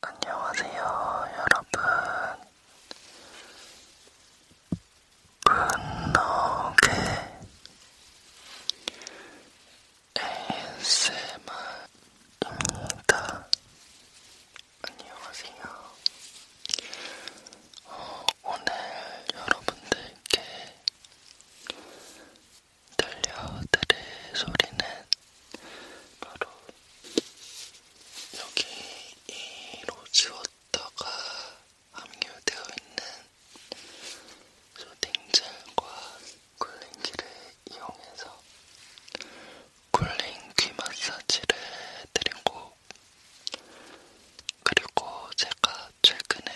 안녕하세요, 여러분. 분노게 네, ASMR입니다. 안녕하세요. 어, 오늘 여러분들께 들려드릴 소리는 바로 여기 이로 지웠다가 함유되어 있는 쇼딩젤과 쿨링기를 이용해서 쿨링 귀 마사지를 해드린 곡 그리고 제가 최근에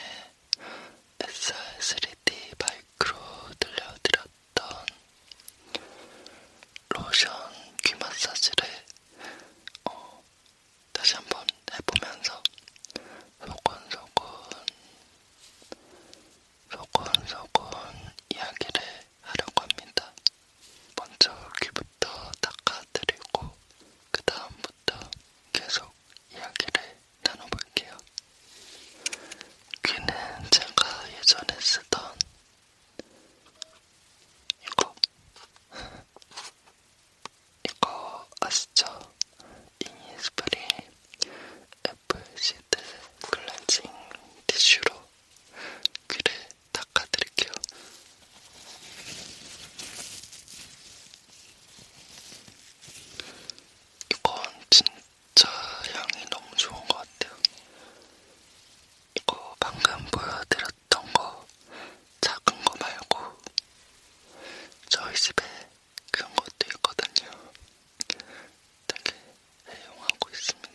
SR3D 마이크로 들려드렸던 했던 로션 귀 마사지를 어, 다시 한번 해보면서 소곤소곤 소곤소곤 이야기를 하려고 합니다. 먼저 귀부터 닦아드리고 그 다음부터 계속 이야기를 나눠볼게요. 귀는 제가 예전에 쓰던 이거 이거 아시죠? 이니스프리 애플시드 클렌징 티슈로 귀를 닦아드릴게요. 이건 진짜 진짜 향이 너무 좋은 것 같아요. 이거 방금 보여드렸던 거 작은 거 말고 저희 집에 큰 것도 있거든요. 되게 애용하고 있습니다.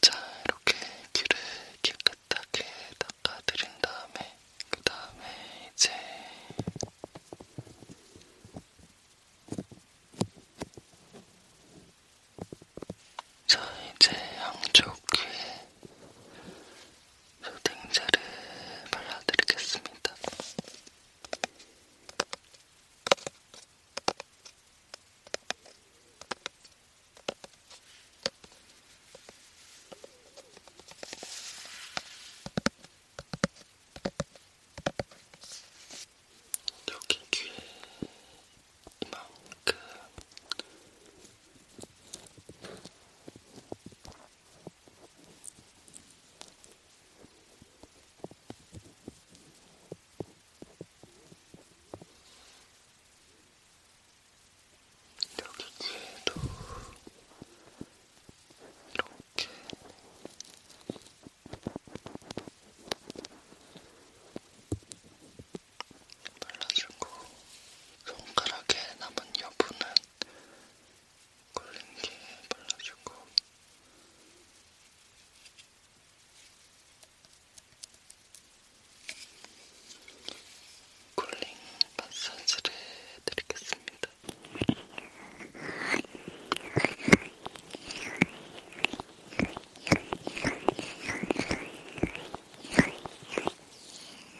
자, 이렇게 귀를 깨끗하게 닦아드린 다음에, 그 다음에 이제 자, 이제 양쪽 귀에 소딩젤을 발라드리겠습니다. 여기 귀에 이만큼 여기 뒤에도 이렇게 발라주고 손가락에 남은 여분은 콜린기에 발라주고 쿨링 마사지를 해드리겠습니다.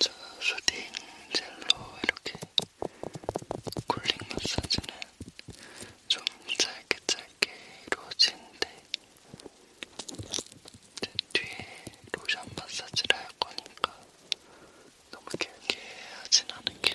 저 수딩 젤로 이렇게 쿨링 마사지는 좀 짧게 짧게 이루어지는데 이제 뒤에 로션 마사지를 할 거니까 너무 길게 하진 않은 게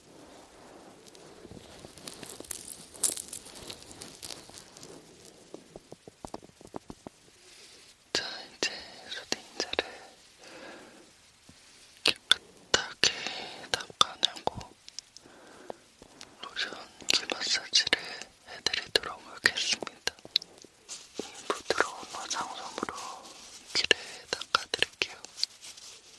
자, 이제 로딩젤을 깨끗하게 닦아내고 로션 기 마사지를 해드리도록 하겠습니다. 이 부드러운 화장솜으로 귀를 닦아드릴게요.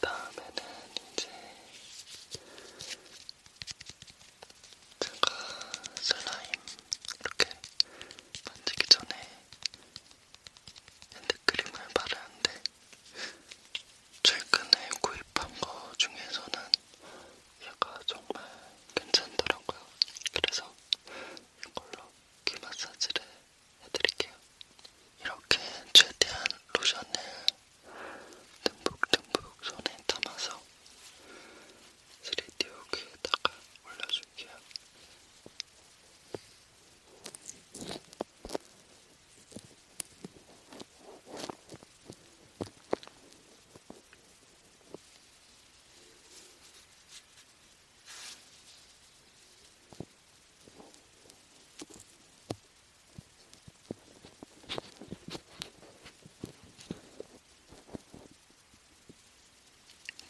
다음에는 이제 제가 슬라임 이렇게 만지기 전에 핸드크림을 바르는데 최근에 구입한 거 중에서는 얘가 정말 괜찮더라고요. 그래서 이걸로 귀 마사지를 해드릴게요. 이렇게 최대한 로션을 듬뿍듬뿍 손에 담아서 3D 오기에다가 올려줄게요.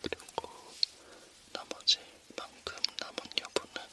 그리고 나머지 만큼 남은 여분은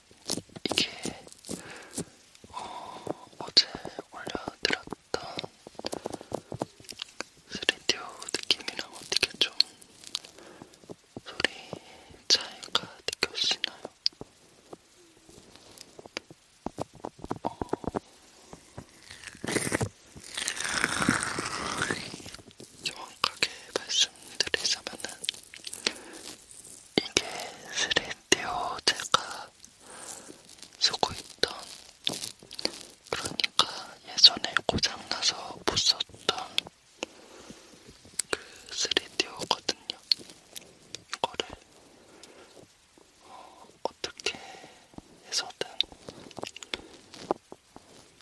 이게 어, 어제 올려드렸던 3디오 느낌이랑 어떻게 좀 소리 차이가 느껴지나요? 어... 정확하게 말씀드리자면은 이게 스레디오 제가 쓰고 있던 그러니까 예전에 고장나서 못 썼던 그 스레디오거든요. 이거를 어, 어떻게 해서든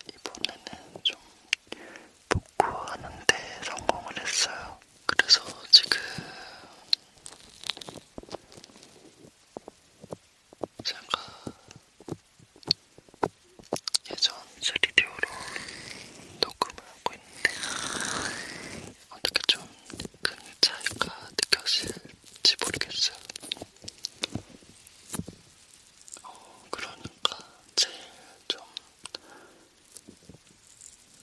이번에는 좀 복구하는데 성공을 했어요. 그래서 지금 제가 예전 스튜디오로 녹음을 하고 있는데 어떻게 좀 큰 차이가 느껴질지 모르겠어요. 어, 그러니까 제일 좀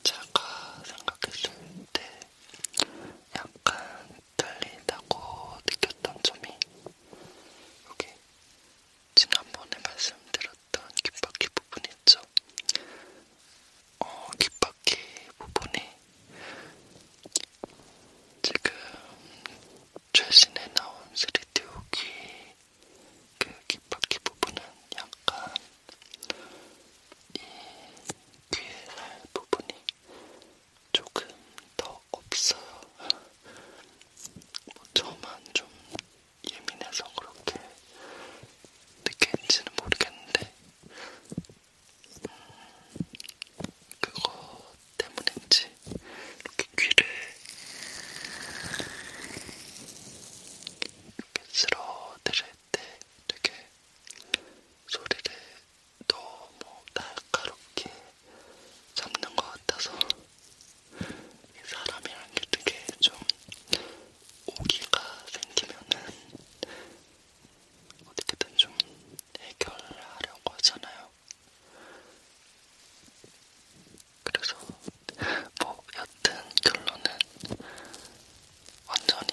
제가 생각했을 때 약간 떨린다고 느꼈던 점이 여기 지난번에 말씀드렸던 귓바퀴 부분 있죠? 어, 귓바퀴 부분이 지금 최신에 나온 3D 오기 그 귓바퀴 부분은 약간 이 귀에 살 부분이 조금 더 없어요. 뭐 저만 좀 예민해서 그렇게 느끼는지는 모르겠는데 음, 그거 때문인지 이렇게 귀를 이렇게 쓸어 드릴 때 되게 소리를 너무 날카롭게 잡는 것 같아서 사람이란 게 되게 좀 오기가 생기면은 어떻게든 좀 해결하려고 하잖아요. 그래서 뭐 여튼 결론은 완전히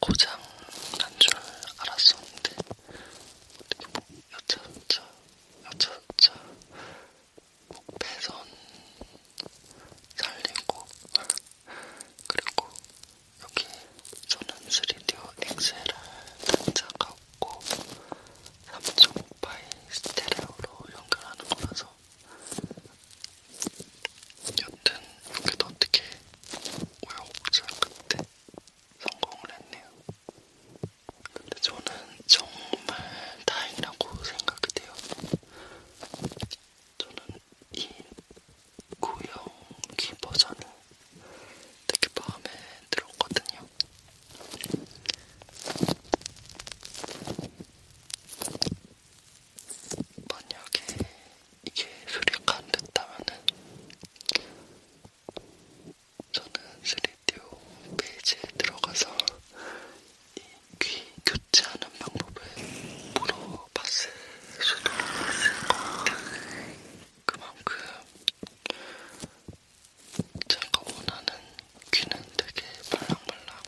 고장 난 줄 알았었는데 어떻게 뭐 여차저차 여차저차 뭐 배선 살리고 그리고 여기 저는 3디오 엑셀을 장착하고 3.5파이 스테레오로 연결하는 거라서 여튼 그래도 어떻게 5.5절 끝에 성공을 했네요. 근데 저는 정말 다행이라고 생각이 돼요. 저는 이 구형기 버전을 되게 마음에 들었거든요. 만약에 이게 소리가 안 됐다면은 저는 스리디오 페이지에 들어가서 이 귀 교체하는 방법을 물어봤을 수도 있을 것 같아요. 그만큼 제가 원하는 귀는 되게 말랑말랑한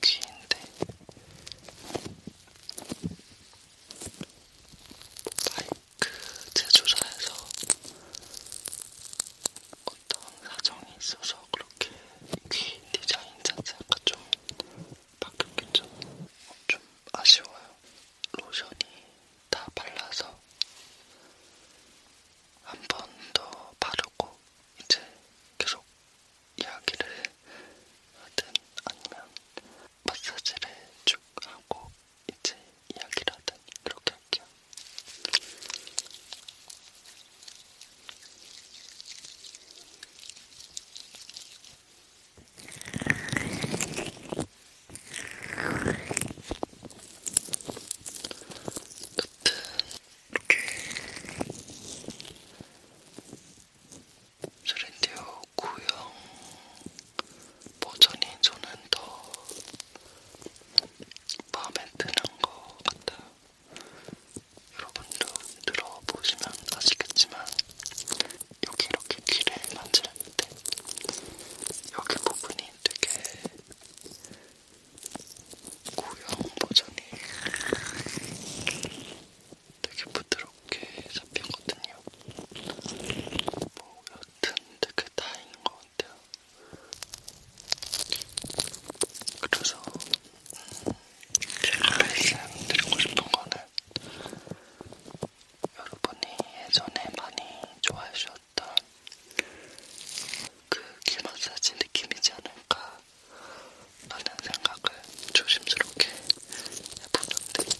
귀인데 마이크 그 제조사에서 어떤 사정이 있어서 그렇게 귀 디자인 자체가 좀 바뀌었겠죠? 좀 아쉬워요. 로션이 다 발라서 한 번 더 바르고 이제 계속 이야기를 하든 아니면 마사지를 쭉 하고 이제 이야기를 하든 그렇게 할게요. 여튼 이렇게 세렌디오 구형 버전이 저는 더 마음에 드는 것 같아요. 여러분도 들어보시면 아시겠지만 여기 이렇게 귀를 만질 때 여기 부분이 되게 고형 버전이 되게 부드럽게 잡힌거든요. 뭐 여튼 되게 다행인 것 같아요. 그래서 제가 말씀드리고 싶은 거는 여러분이 예전에 많이 좋아해 주셨던 그귀 마사지 느낌이지 않을까 라는 생각을 조심스럽게 해보는데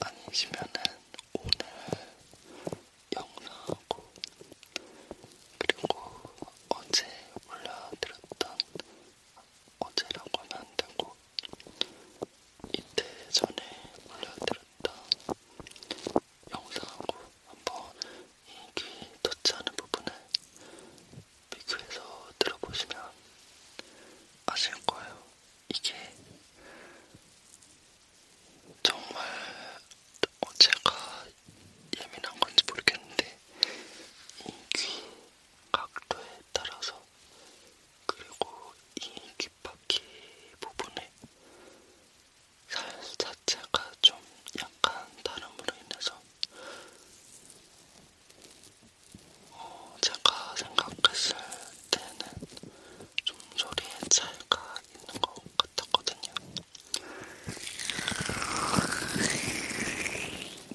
아니시면은 오늘 영상하고 그리고 어제 올려드렸던 어제라고 하면 안 되고 이틀 전에 올려드렸던 영상하고 한번 이귀 터치하는 부분을 비교해서 들어보시면 아실 거예요. 이게 정말 어제가 예민한 건지 모르겠는데 이 귀 각도에 따라서 그리고 이 귓바퀴 부분에 살 자체가 좀 약간 다름으로 인해서 어, 제가 생각했을 때는 좀 소리의 차이가 있는 것 같았거든요.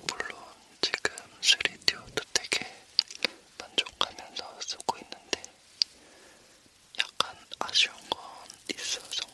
물론 지금 3D오도 되게 만족하면서 쓰고 있는데 약간 아쉬운 건 있어 정말.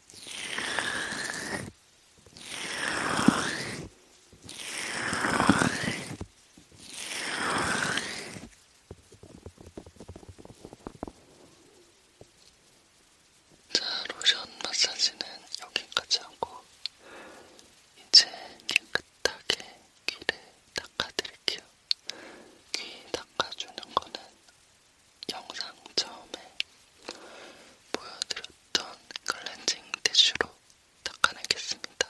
자, 로션 마사지는 여기까지 하고 이제 깨끗하게 귀를 닦아드릴게요. 귀 닦아주는 거는 영상 처음에 보여드렸던 클렌징 티슈로 닦아내겠습니다.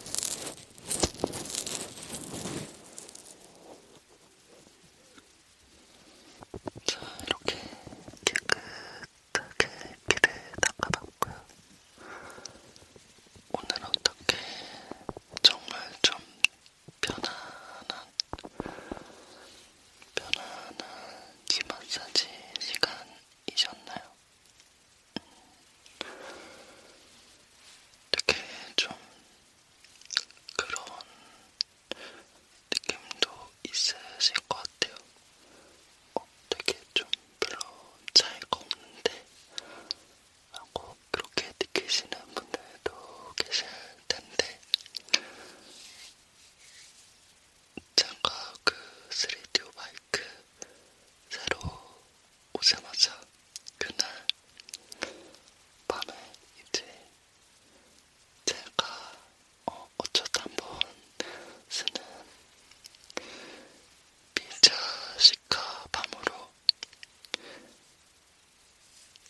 자, 이렇게 깨끗하게 피를 닦아봤고요. 오늘 어떻게 정말 좀 편안한, 편안한 기 마사지 시간이셨나요? 되게 좀 그런 느낌도 있으실 것 같아요. 어, 되게 좀 별로 차이가 없는데 하고 그렇게 느끼시는 분들도 계실 텐데 제가 그 3D 오바이 그 새로 오자마자 그날 밤에 이제 제가 어, 어쩌다 한 번 쓰는 피자 시카 밤으로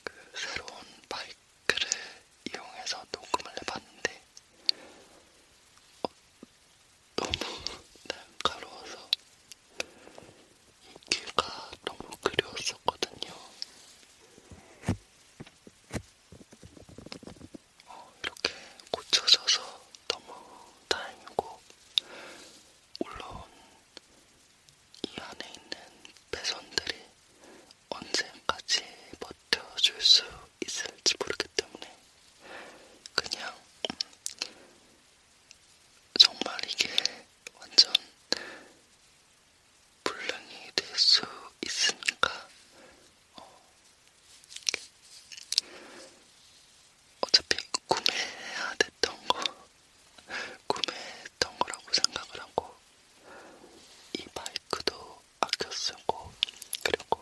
그 새로운 마이크를 이용해서 녹음을 해봤는데 어, 너무 날카로워서 이 귀가 너무 그리웠었거든요. 어, 이렇게 고쳐져서 너무 다행이고, 물론 이 안에 있는 배선들이 언제까지 버텨줄 수 있을지 모르기 때문에 그냥 정말 이게 완전 불량이 될 수 있으니까 어, 어차피 구매해야 됐던 거 구매했던 거라고 생각을 하고 이 마이크도 아껴 쓰고 그리고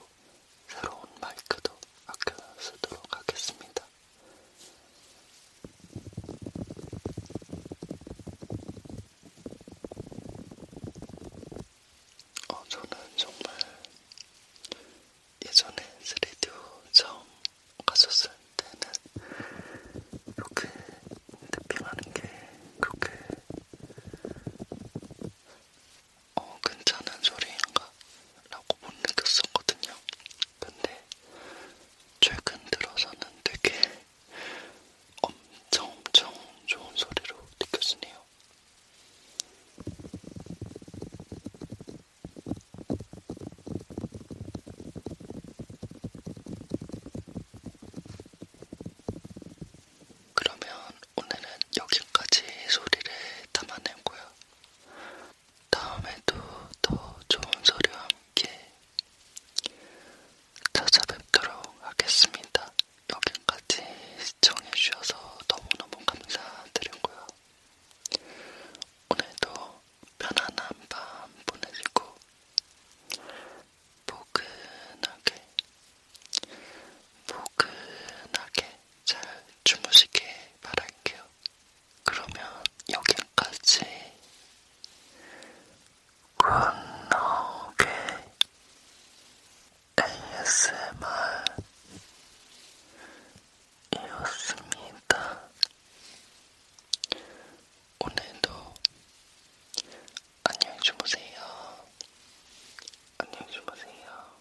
새로운 마이크도 아껴 쓰도록 하겠습니다. 어, 저는 정말 예전에 스튜디오 처음 갔었을 때는 이렇게 탭핑하는 게 그렇게 어, 괜찮은 소리인가? 라고 못 느꼈었거든요. 근데 최근 들어서는 되게 엄청 엄청 좋은 소리로 느껴지네요. 그러면 오늘은 여기까지 소리를 담아내고요. 다음에도 더 좋은 소리와 함께 찾아뵙도록 하겠습니다. 여기까지 시청해주셔서 너무너무 감사드리고요. 오늘도 편안한 밤 보내시고 포근하게 포근하게 잘 주무시길 바랄게요. 그러면 여기까지 굿노게 ASMR이었습니다. 오늘도 안녕히 주무세요. 안녕히 주무세요.